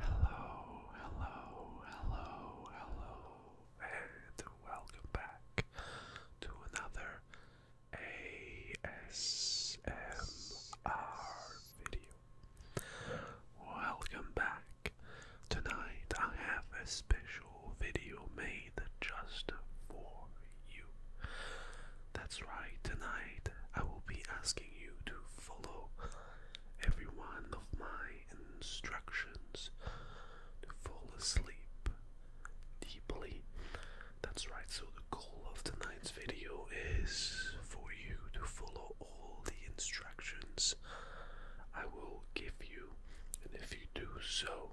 Hello, hello, hello, hello, and welcome back to another ASMR video. Welcome back. Tonight I have a special video made just for you. That's right, tonight I will be asking you to follow every one of my instructions to fall asleep deeply. That's right, so the goal of tonight's video is for you to follow all the instructions I will give you, and if you do so,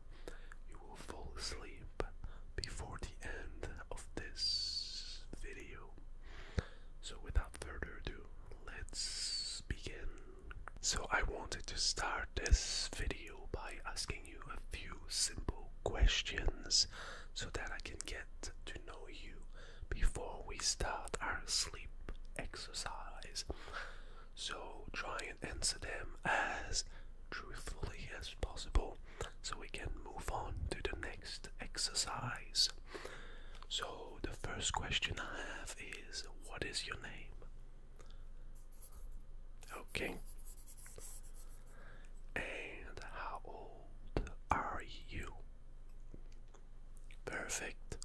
you will fall asleep before the end of this video. So without further ado, let's begin. So I wanted to start this video by asking you a few simple questions so that I can get to know you before we start our sleep exercise. So try and answer them as truthfully as possible so we can move on to the next exercise. So, the first question I have is What is your name? Okay. And how old are you? Perfect.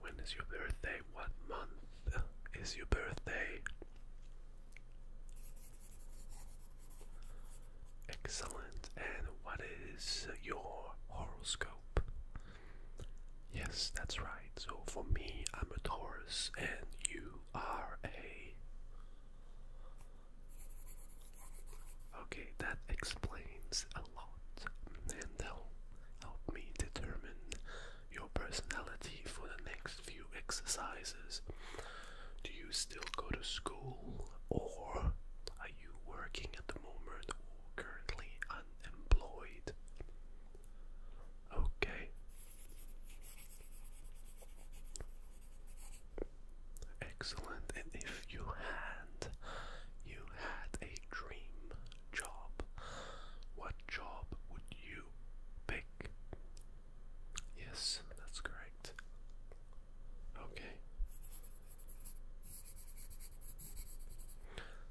When is your birthday? What month is your birthday? Excellent. And what is your horoscope? Yes, that's right. So for me, I'm a Taurus, and you are a. Okay, that explains a lot and that'll help me determine your personality for the next few exercises. Do you still go to school or are you working at the moment or currently unemployed? Okay. Excellent. And if you had you had a dream job, what job would you pick? Yes, that's correct. Okay.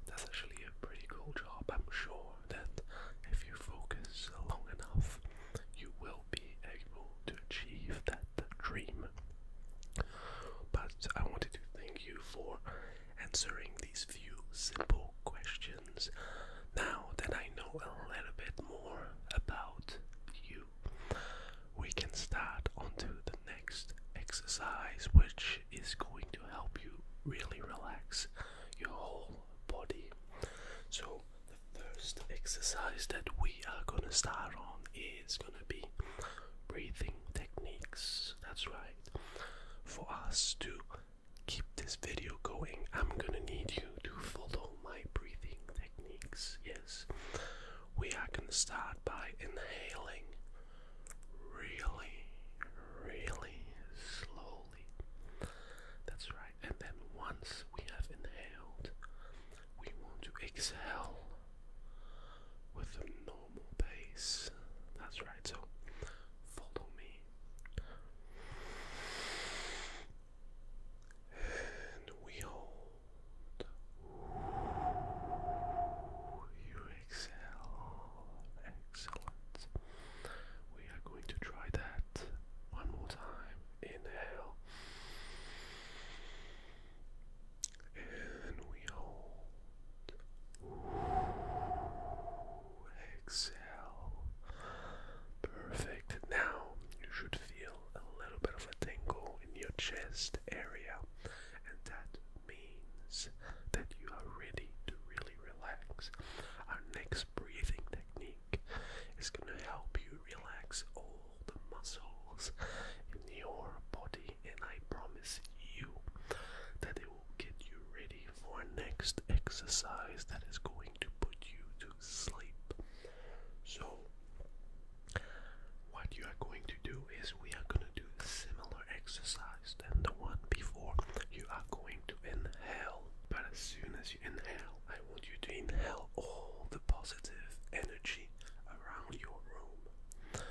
That's actually a pretty cool job. I'm sure that if you focus long enough, you will be able to achieve that dream. But I wanted to thank you for answering these few simple questions. Now that I know a little bit more about you, we can start onto the next exercise, which is going to help you really relax your whole body. So, the first exercise that we are going to start on is going to be breathing techniques. That's right, for us to keep this video going, I'm gonna need you to follow my breathing techniques. Yes, we are gonna start by inhaling really, really slowly. That's right, and then once we have inhaled, we want to exhale with a normal pace. That's right, so follow me and we hold. You exhale. Excellent. We are going to try that one more time. Inhale. And we hold exhale. Perfect. Now you should feel a little bit of a tingle in your chest area, and that means that you are ready to really relax. Our next breathing technique is going to help you relax all the muscles in your body, and I promise you that it will get you ready for next exercise that is going to put you to sleep. So, what you are going to do is we are going to do a similar exercise than the one before. You are going to inhale, but as soon as you inhale, I want you to inhale all the positive energy around your room.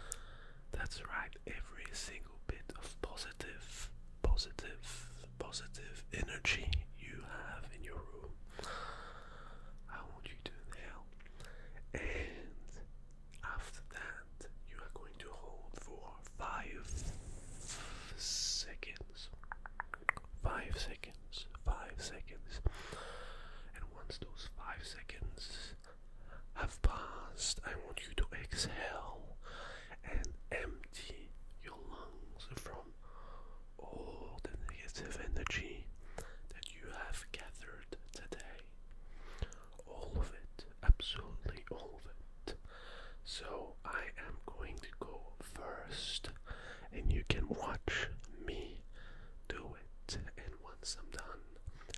That's right, every single bit of positive positive, positive energy you have in your room. I want you to inhale, and after that, you are going to hold for five seconds. Five seconds. Five seconds. And once those five seconds have passed, I want you to exhale and empty your lungs from all the negative energy that you have gathered today. All of it, absolutely all of it. So I am going to go first, and you can watch me do it. And once I'm done,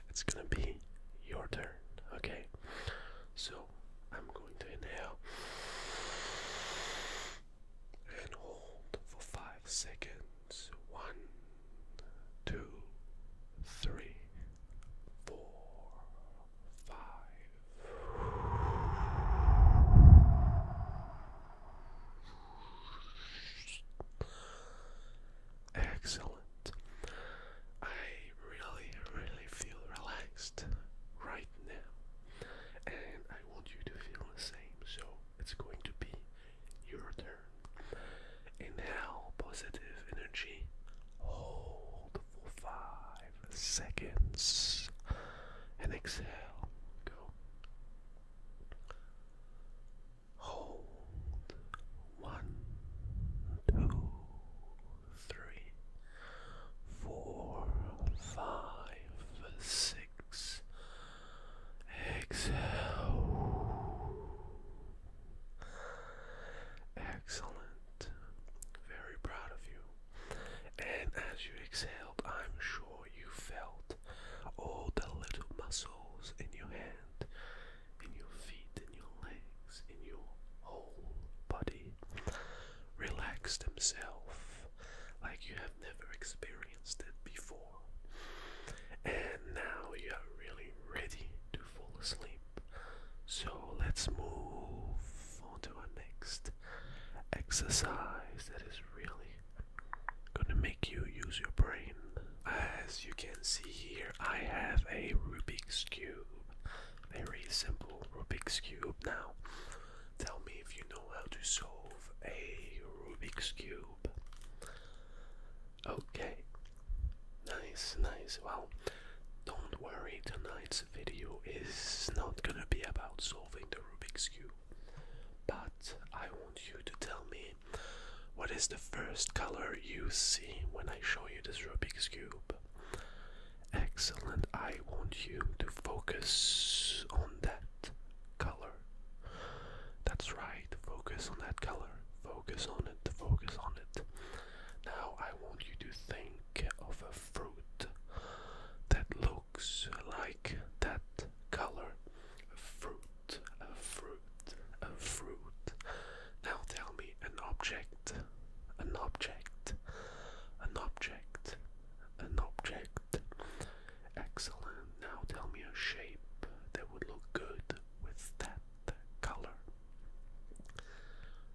it's gonna be your turn, okay? So I'm going to inhale and hold for five seconds. One, two, three, four, five. Excellent. I really, really feel relaxed right now, and I want you to feel the same. So it's going to be your turn. Inhale positive energy, hold for five seconds, and exhale. Go. Hold. One, two, three, four, five, six. Exhale. Excellent. Very proud of you. And as you exhaled, I'm sure you felt all the little muscles in your hand in your feet, in your legs, in your whole body. Relax himself like you have never experienced it before. And now you are really ready to fall asleep. So let's move on to our next exercise that is really gonna make you use your brain as you can see here, I have a Rubik's Cube. Very simple Rubik's Cube. Now, tell me if you know how to solve a Rubik's Cube. Okay. Nice, nice. Well, don't worry, tonight's video is not gonna be about solving the Rubik's Cube. But I want you to tell me what is the first color you see when I show you this Rubik's Cube? Excellent. I want you to focus on that color. That's right. Focus on that color. Focus on it. Focus on it. Now I want you to think of a fruit that looks like that color. A fruit a fruit, a fruit. Now tell me an object, an object, an object, an object. Excellent. Now tell me a shape that would look good with that color.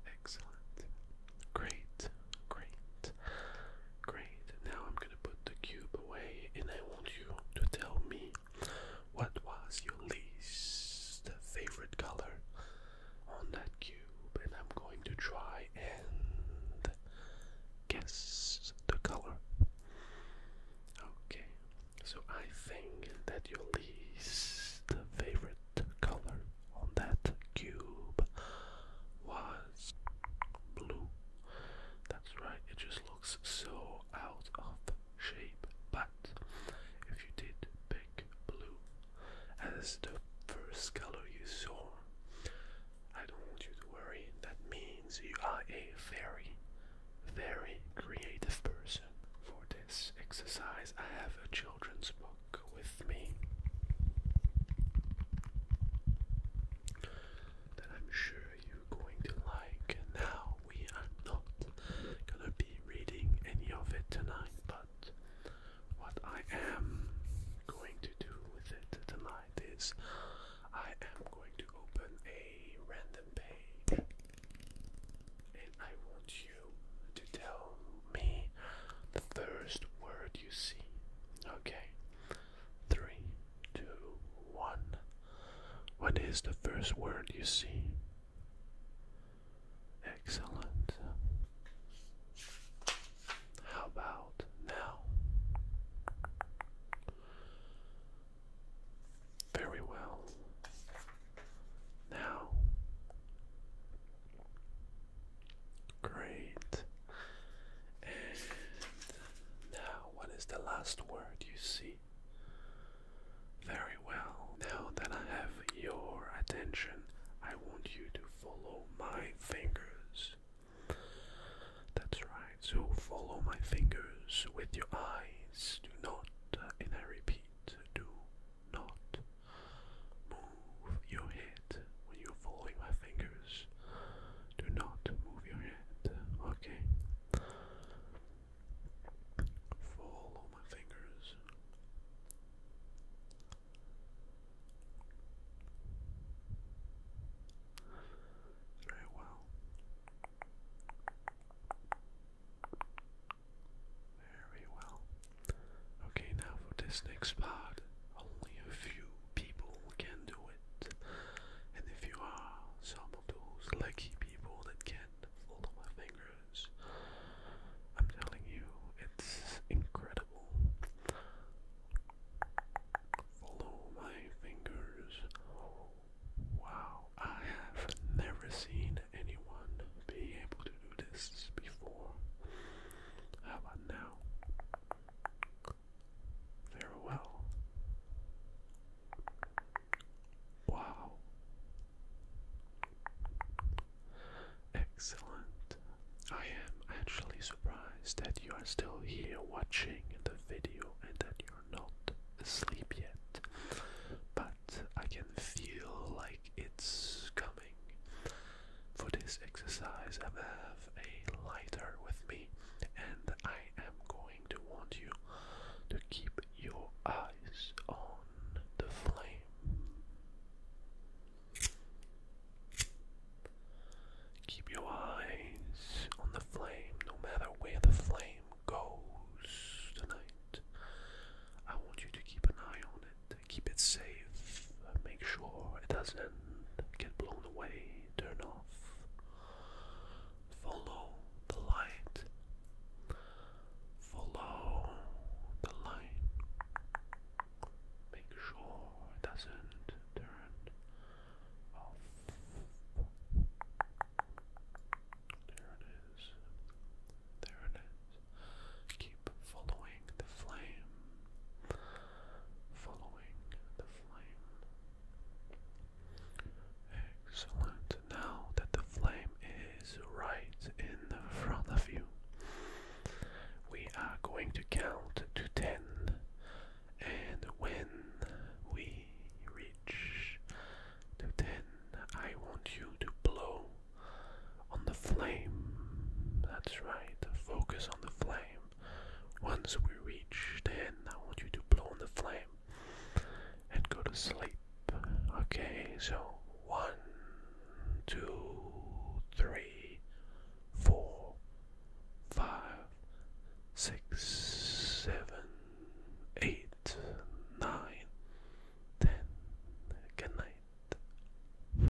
Excellent. Great, great, great. Now I'm gonna put the cube away and I want you to tell me what was your least favorite color on that cube? And I'm going to try and guess the color. Okay, so I think that your least favorite color on that cube was blue. That's right, it just looks so out of shape. But if you did pick blue as the first color you saw, I don't want you to worry. That means you are a very, very creative person. For this exercise, I have a children's book with me that I'm sure you're going to like. Now, we are not gonna be reading any of it tonight, but what I am going to do with it tonight is I am going to open a random page and I want you to tell me the first word you see. Okay? Three, two, one. What is the first word you see? Excellent. How about now? Very well. Now. Great. And now, what is the last word you see? Very well. Now that I have your attention, I want you to follow my fingers. That's right, so follow my fingers with your eyes. Do not, uh, and I repeat, do not move your head when you're following my fingers. Do not move your head. Okay. Follow my fingers. Very well. Very well. Okay, now for this next part, only a few people can do it. And if you are some of those lucky people that can fold my fingers, I'm telling you, it's incredible. Follow my fingers. Wow, I have never seen anyone be able to do this before. How about now? Farewell. Wow. Excellent. I am actually surprised that you are still here watching the video and that you're not asleep yet. But I can feel like it's coming. For this exercise, I have a lighter with me, and I am going to want you to keep your eyes on the flame. Keep your eyes on the flame, no matter where the flame goes tonight. I want you to keep an eye on it, keep it safe, make sure it doesn't get blown the turn off. Follow the light. Follow the light. Make sure it doesn't turn off. There it is. There it is. Keep following the flame following the flame. Excellent. Now that the flame is right in front of you, we are going to count to 10. And when we reach to 10, I want you to blow on the flame. That's right, focus on the flame. Once we reach 10, I want you to blow on the flame and go to sleep. Okay, so one, two, three, four, five, six, seven, eight, nine, ten. Good night.